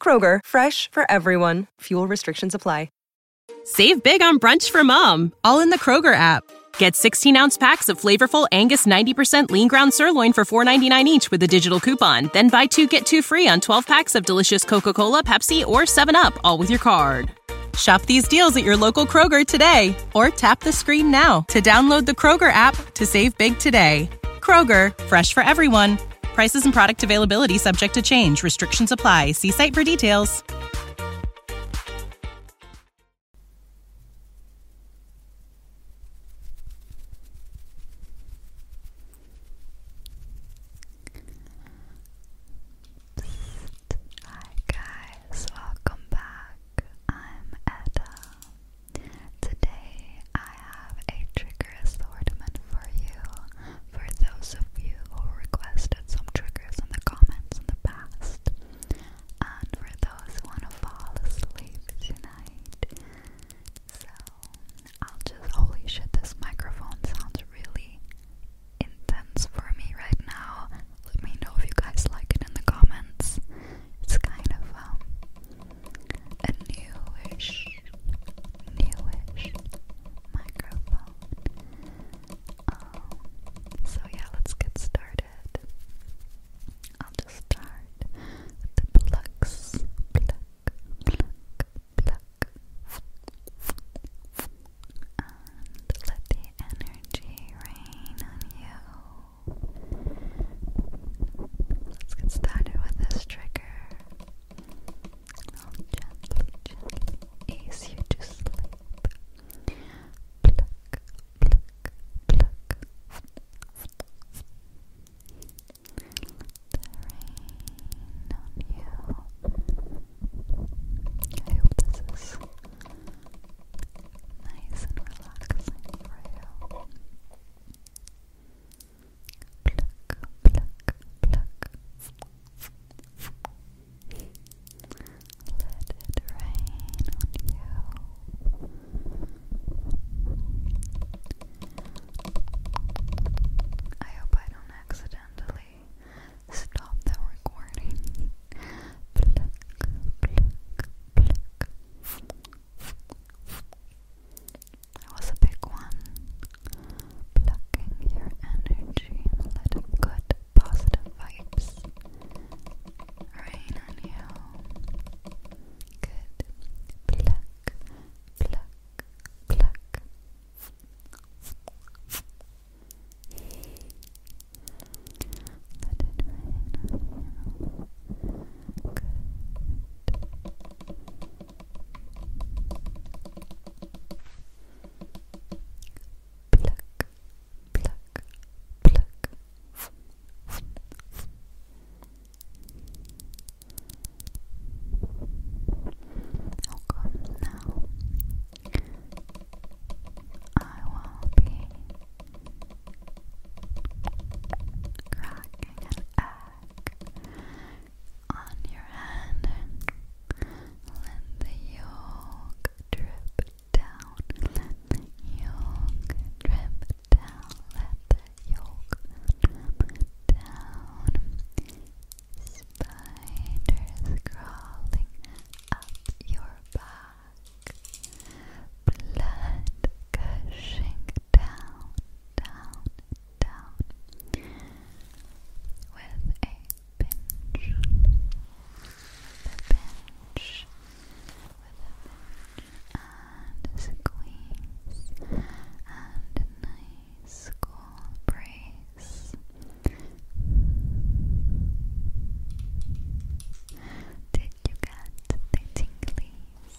Kroger, fresh for everyone. Fuel restrictions apply. Save big on brunch for mom, all in the Kroger app. Get 16 ounce packs of flavorful Angus 90% lean ground sirloin for $4.99 each with a digital coupon. Then buy two get two free on 12 packs of delicious Coca Cola, Pepsi, or 7UP, all with your card. Shop these deals at your local Kroger today or tap the screen now to download the Kroger app to save big today. Kroger, fresh for everyone. Prices and product availability subject to change. Restrictions apply. See site for details. Hi guys, welcome back. I'm Edda. Today I have a trigger assortment for you for those of you who requested some triggers in the comments in the past and for those who want to fall asleep tonight. So I'll just holy shit this microphone sounds really intense for me right now. Let me know if you guys like it in the comments. It's kind of um a newish, newish microphone. Um, so yeah, let's get started. I'll just start the plucks, pluck, pluck, and let the energy rain on you. Let's get started with this trigger. I'll gently, gently ease you to sleep. Pluck, pluck, pluck. The rain on you. I hope this is nice and relaxing for you pluck, Let it rain on you. I hope I don't accidentally stop the recording. That was a big one. Plucking your energy and letting good, positive vibes rain on you. Good. Pluck, pluck, pluck. Pluck, pluck, pluck. Okay, now I will be cracking an on your hand. Let the yolk drip down. yolk drip down. Let the yolk drip down. Spiders crawling up your back. Blood gushing down, down, down with a pinch, a pinch, with a pinch, and squeeze, and a nice cool brace. Did you get the tinglies?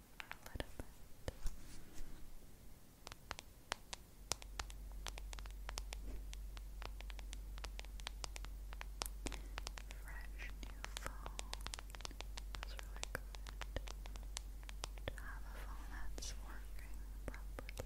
for a Fresh new phone is really good to have a phone that's working properly.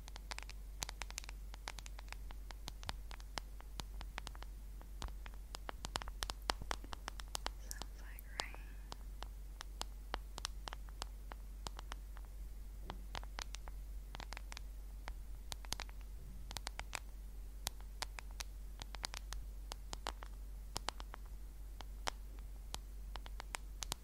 Sounds like rain. Sounds like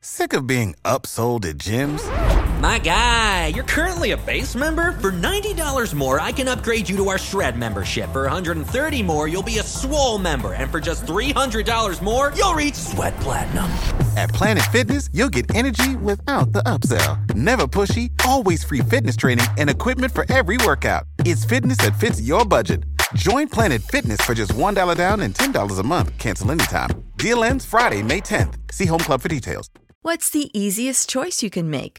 Sick of being upsold at gyms? My guy, you're currently a base member. For $90 more, I can upgrade you to our Shred membership. For 130 more, you'll be a Swole member. And for just $300 more, you'll reach Sweat Platinum. At Planet Fitness, you'll get energy without the upsell. Never pushy, always free fitness training and equipment for every workout. It's fitness that fits your budget. Join Planet Fitness for just $1 down and $10 a month. Cancel anytime. Deal ends Friday, May 10th. See Home Club for details. What's the easiest choice you can make?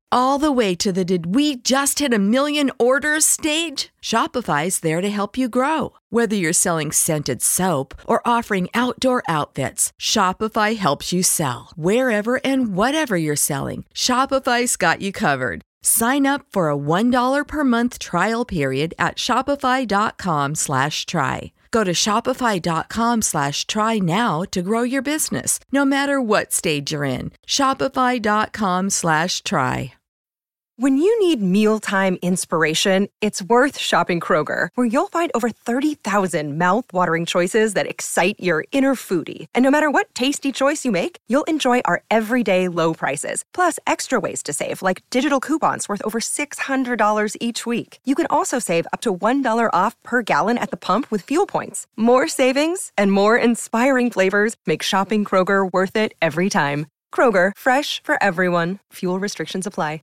all the way to the did we just hit a million orders stage? Shopify is there to help you grow. Whether you're selling scented soap or offering outdoor outfits, Shopify helps you sell. Wherever and whatever you're selling, Shopify's got you covered. Sign up for a $1 per month trial period at shopify.com slash try. Go to shopify.com slash try now to grow your business, no matter what stage you're in. Shopify.com slash try. When you need mealtime inspiration, it's worth shopping Kroger, where you'll find over 30,000 mouthwatering choices that excite your inner foodie. And no matter what tasty choice you make, you'll enjoy our everyday low prices, plus extra ways to save, like digital coupons worth over $600 each week. You can also save up to $1 off per gallon at the pump with fuel points. More savings and more inspiring flavors make shopping Kroger worth it every time. Kroger, fresh for everyone. Fuel restrictions apply.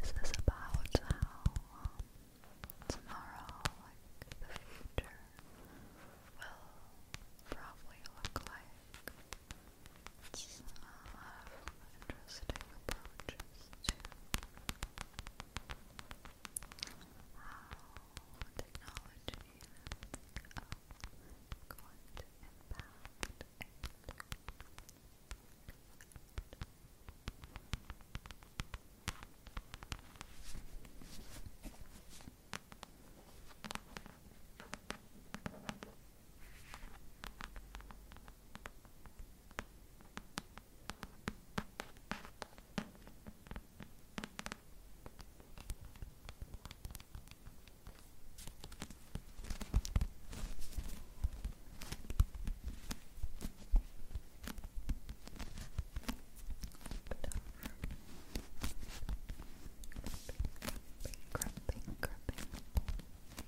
This is about how um, tomorrow, like the future, will probably look like. It's i have interesting approaches to how technology is going to impact Cramping, cramping, cramping. I love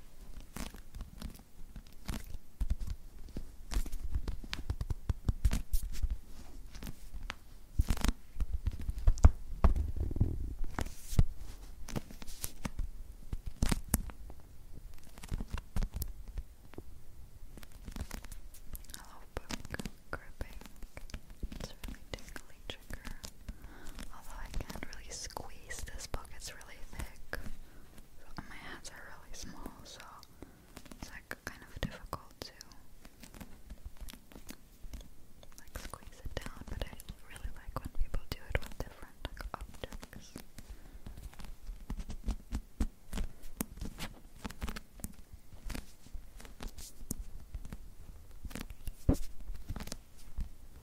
book gripping. It's really tingly trigger. Although I can't really squeeze this book, it's really thick. my hands are really small, so it's like kind of difficult to like squeeze it down, but I really like when people do it with different objects.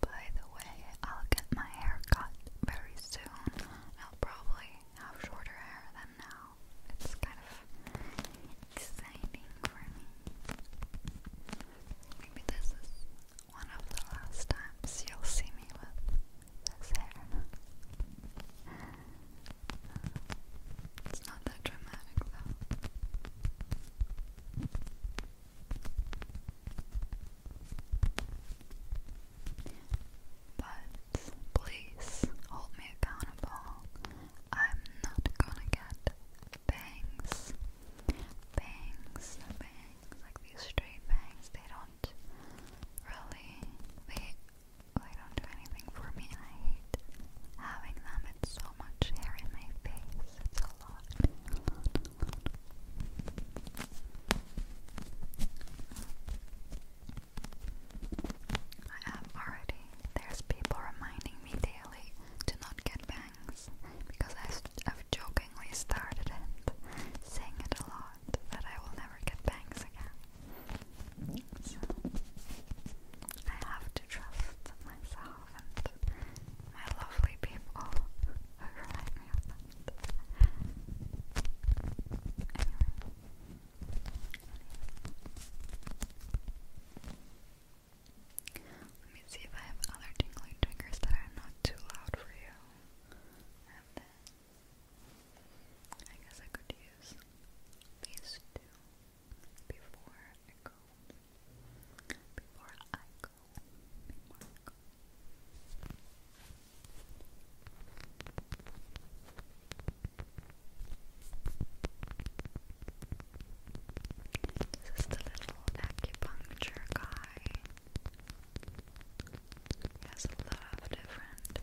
By the way, I'll get my hair cut very soon. I'll probably have shorter hair than now. It's kind of exciting for me. Maybe this is one of the last times you'll see me with this hair. It's not that dramatic though. But please hold me accountable. I'm not gonna get bangs. Bangs, bangs. Like these straight bangs, they don't really they don't do anything for me I hate having them. It's so much hair in my face. It's a lot. I have already. There's people reminding me daily to not get bangs because I've jokingly started it, saying it a lot that I will never get bangs again. So I have to trust myself and my lovely people who remind me Anyway. Let me see if I have other tingling triggers that are not too loud for you. I guess I could use these two before I go. Before I go. Before I go. This is the little acupuncture guy. He has a lot of different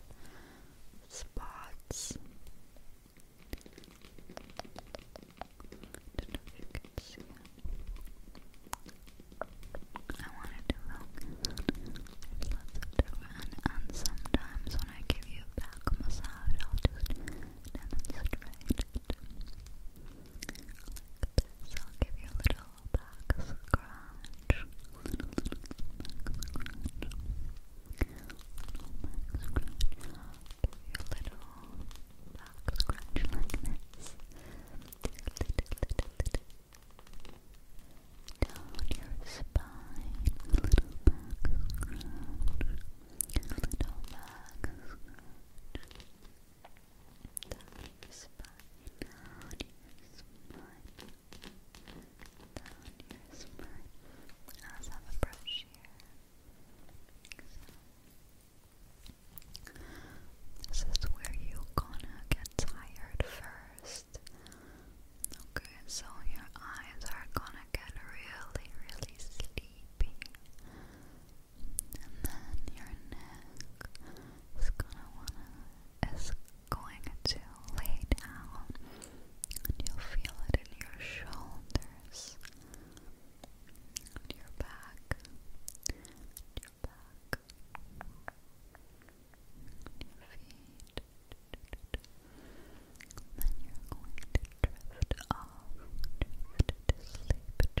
spots see I wanted to focus sometimes when I give you back massage I'll just demonstrate it. Like this, I'll give you A little back scratch back scratch like this. Down your spine, little back scratch, little back scratch. Down your spine, down your spine down this is where you gonna get tired first. Okay, so your eyes are gonna get really, really sleepy. And then your neck is gonna wanna is going to you lay down and you'll feel it in your shoulders your back your back your feet and you're going to drift off to sleep,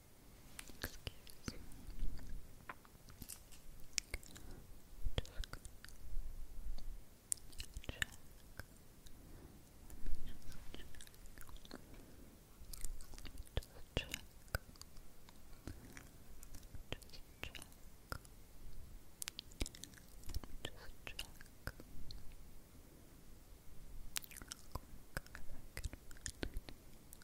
Excuse me. Just gonna check. Let me just check. Just check. Just check. Let me just check. Quick, if I can find it.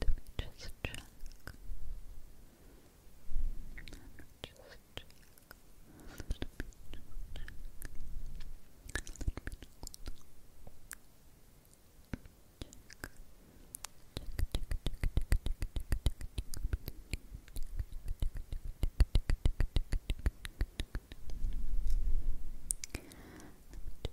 Let me just check. Let me just check. Let me check. Let me check. Let me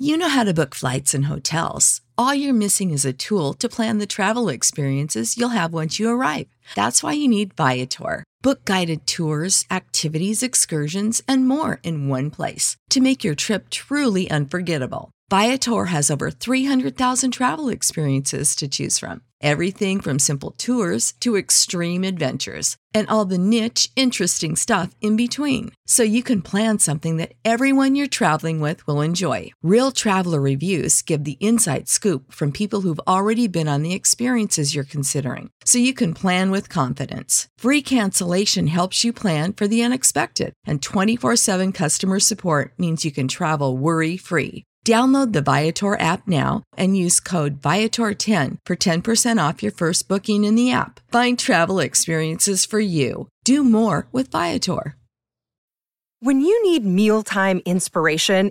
You know how to book flights and hotels. All you're missing is a tool to plan the travel experiences you'll have once you arrive. That's why you need Viator. Book guided tours, activities, excursions, and more in one place to make your trip truly unforgettable. Viator has over 300,000 travel experiences to choose from. Everything from simple tours to extreme adventures and all the niche, interesting stuff in between. So you can plan something that everyone you're traveling with will enjoy. Real traveler reviews give the inside scoop from people who've already been on the experiences you're considering so you can plan with confidence. Free cancellation helps you plan for the unexpected, and 24 7 customer support means you can travel worry free. Download the Viator app now and use code Viator10 for 10% off your first booking in the app. Find travel experiences for you. Do more with Viator. When you need mealtime inspiration,